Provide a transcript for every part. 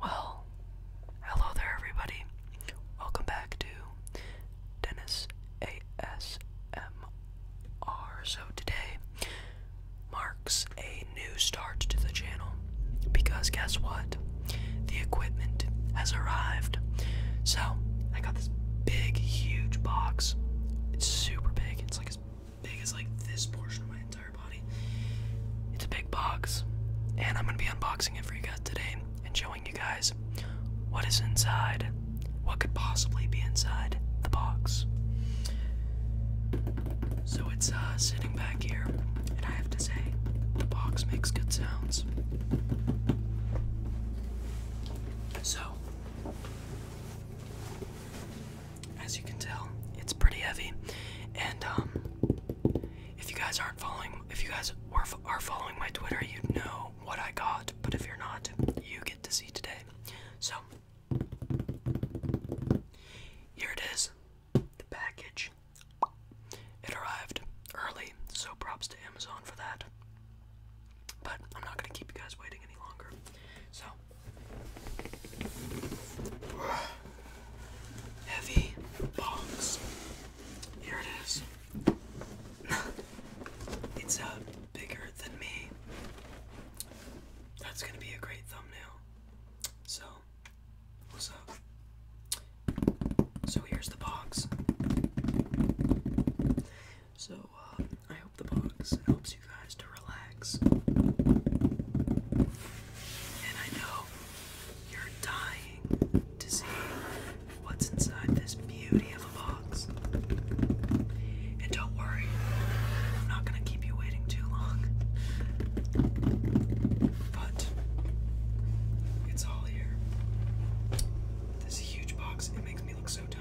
Well, hello there, everybody. Welcome back to Dennis ASMR. So, today marks a new start to the channel because guess what? The equipment has arrived. So, I got this big, huge box. It's super big. It's like as big as like this portion of my entire it's a big box, and I'm gonna be unboxing it for you guys today and showing you guys what is inside, what could possibly be inside the box. So it's uh, sitting back here, and I have to say, the box makes good sounds. So, as you can tell, it's pretty heavy. And um, if you guys aren't following, if you guys are following my Twitter, you know what I got. But if you're not, you get to see today. So here it is, the package. It arrived early, so props to Amazon for that. But I'm not gonna keep you guys waiting any longer. So Heavy box. Here it is. it's uh, bigger than me. That's gonna be a great thumbnail. So, what's up? So here's the box. So uh, I hope the box helps you guys to relax. And I know you're dying to see what's inside this beauty of a box. And don't worry, I'm not going to keep you waiting too long. But it's all here. This huge box, it makes me look so tiny.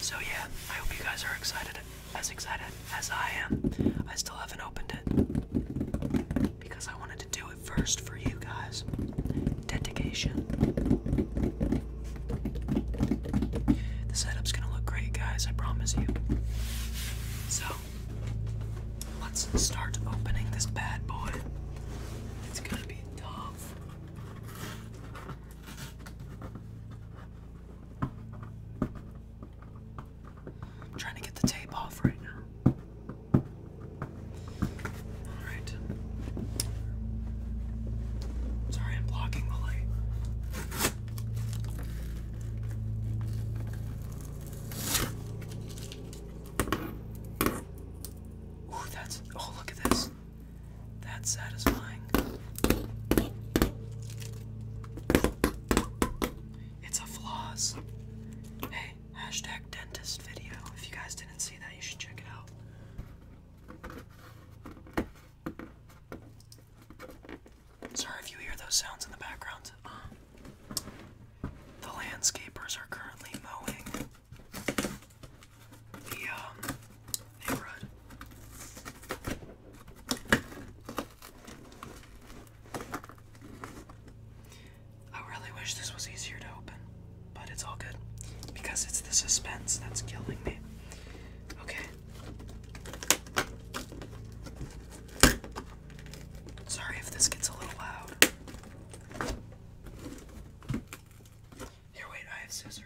So yeah, I hope you guys are excited, as excited as I am. I still haven't opened it because I wanted to do it first for you guys. Dedication. The setup's gonna look great, guys. I promise you. So let's start opening this bad boy. It's gonna be tough trying to get the tape off right now. Alright. Sorry, I'm blocking the light. Ooh, that's. Oh, look at this. That's satisfying. It's a floss. Hey, hashtag If you guys didn't see that, you should check it out. Sorry if you hear those sounds in the background. Um, the landscapers are currently mowing the um, neighborhood. I really wish this was easier to open, but it's all good because it's the suspense that's killing me. Okay. Sorry if this gets a little loud. Here, wait, I have scissors.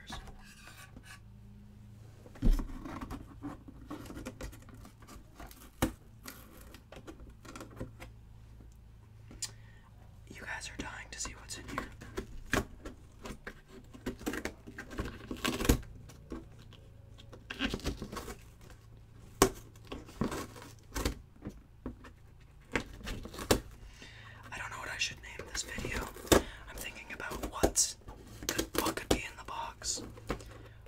You guys are dying to see what's in here. I don't know what I should name this video. I'm thinking about what's could, what could be in the box,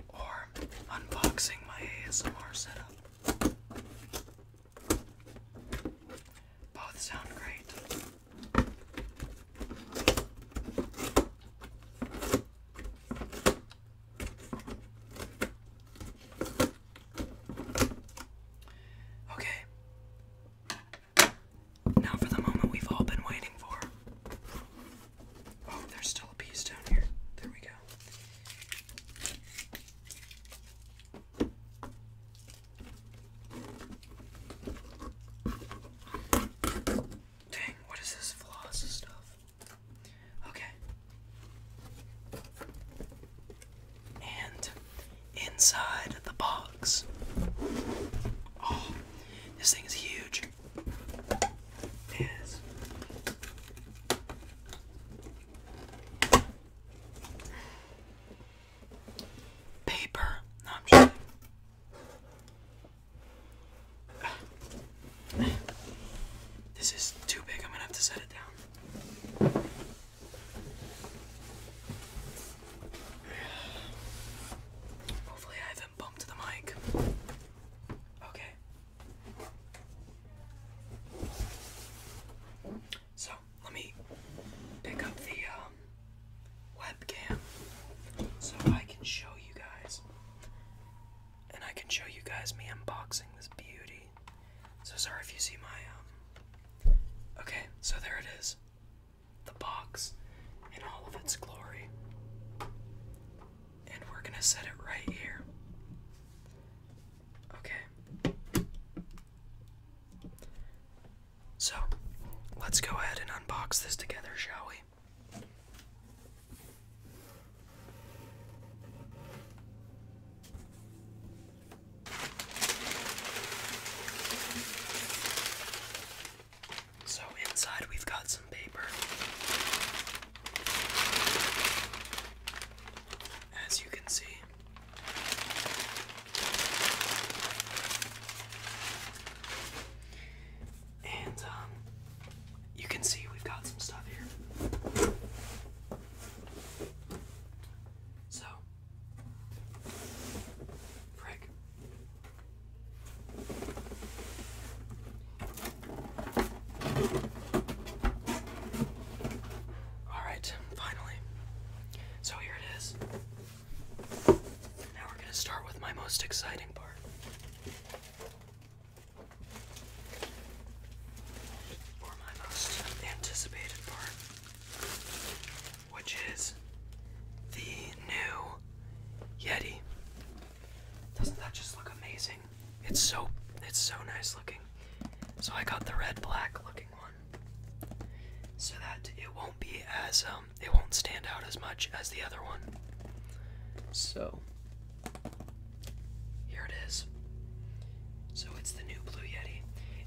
or unboxing my ASMR setup. Both sound great. Okay, now for the moment we've all been waiting for. Oh, there's still a piece down here. There we go. Dang, what is this floss stuff? Okay. And inside the box. Oh, this thing is huge. Paper. This is too big. I'm gonna have to set it down. Hopefully I haven't bumped the mic. Okay. So, let me pick up the um, webcam so I can show you guys. And I can show you guys me unboxing this beauty. So sorry if you see my um Okay, so there it is the box in all of its glory. And we're going to set it right here. Okay. So, let's go ahead and unbox this together, shall we? So inside we've got some paper. As you can see. And um, you can see we've got some stuff here. So Frick. Alright, finally. So here it is. Now we're going to start with my most exciting part. Or my most anticipated part which is the new Yeti. Doesn't that just look amazing? It's so it's so nice looking. So I got the red black looking one. So that it won't be as um it won't stand out as much as the other one. So here it is. So it's the new Blue Yeti.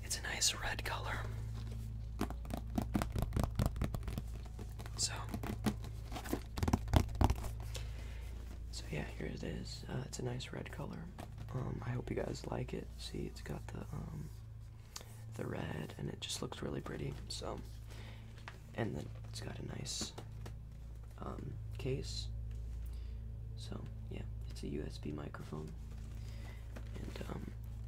It's a nice red color. So, so yeah, here it is. Uh, it's a nice red color. Um, I hope you guys like it. See, it's got the um, the red, and it just looks really pretty. So, and then it's got a nice um, case. So yeah, it's a USB micro microphone. And um,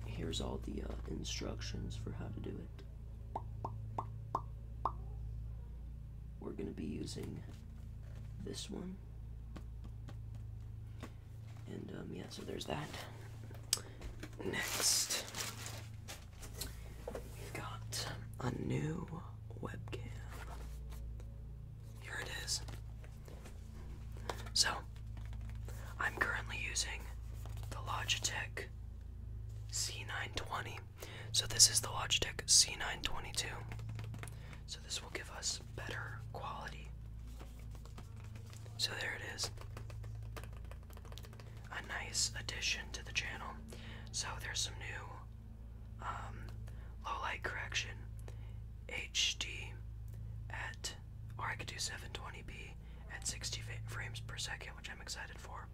here's all the uh, instructions for how to do it. We're going to be using this one. And um, yeah, so there's that. Next, we've got a new webcam. Here it is. So, I'm currently using the Logitech C920. So, this is the Logitech C922. So, this will give us better quality. So, there it is. A nice addition to the channel. So, there's some new um, low light correction HD at or I could do 720p at 60 frames per second, which I'm excited for.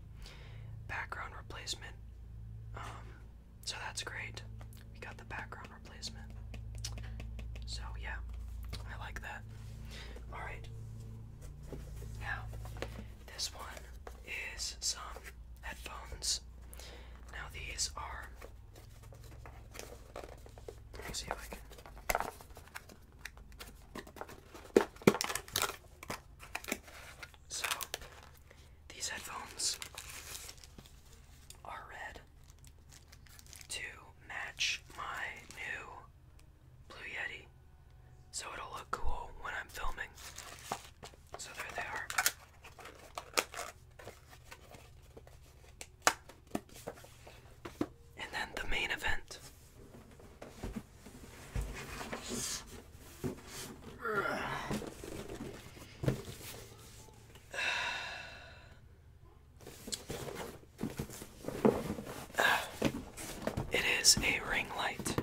Background replacement, um, so that's great. We got the background replacement. So yeah, I like that. All right. Now, this one is some headphones. Now these are let me see if I can. So, these headphones are red to match my new Blue Yeti. So it'll look cool when I'm filming. So there they are. And then the main event. It is a ring light.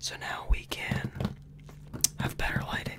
So now we can have better lighting.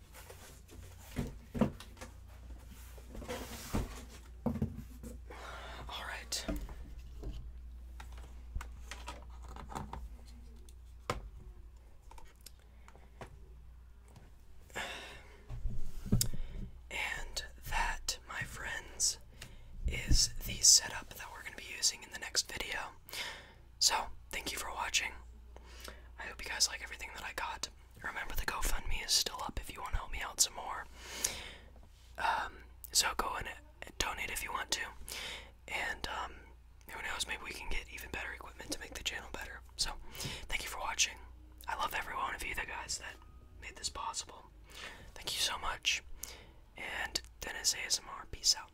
All right. And that, my friends, is the setup that we're going to be using in the next video. So, thank you for watching. I hope you guys like everything that I got. Remember, the GoFundMe is still up if you want to help me out some more. Um, so go and uh, donate if you want to. And, um, who knows, maybe we can get even better equipment to make the channel better. So, thank you for watching. I love every one of you, the guys that made this possible. Thank you so much. And Dennis ASMR, peace out.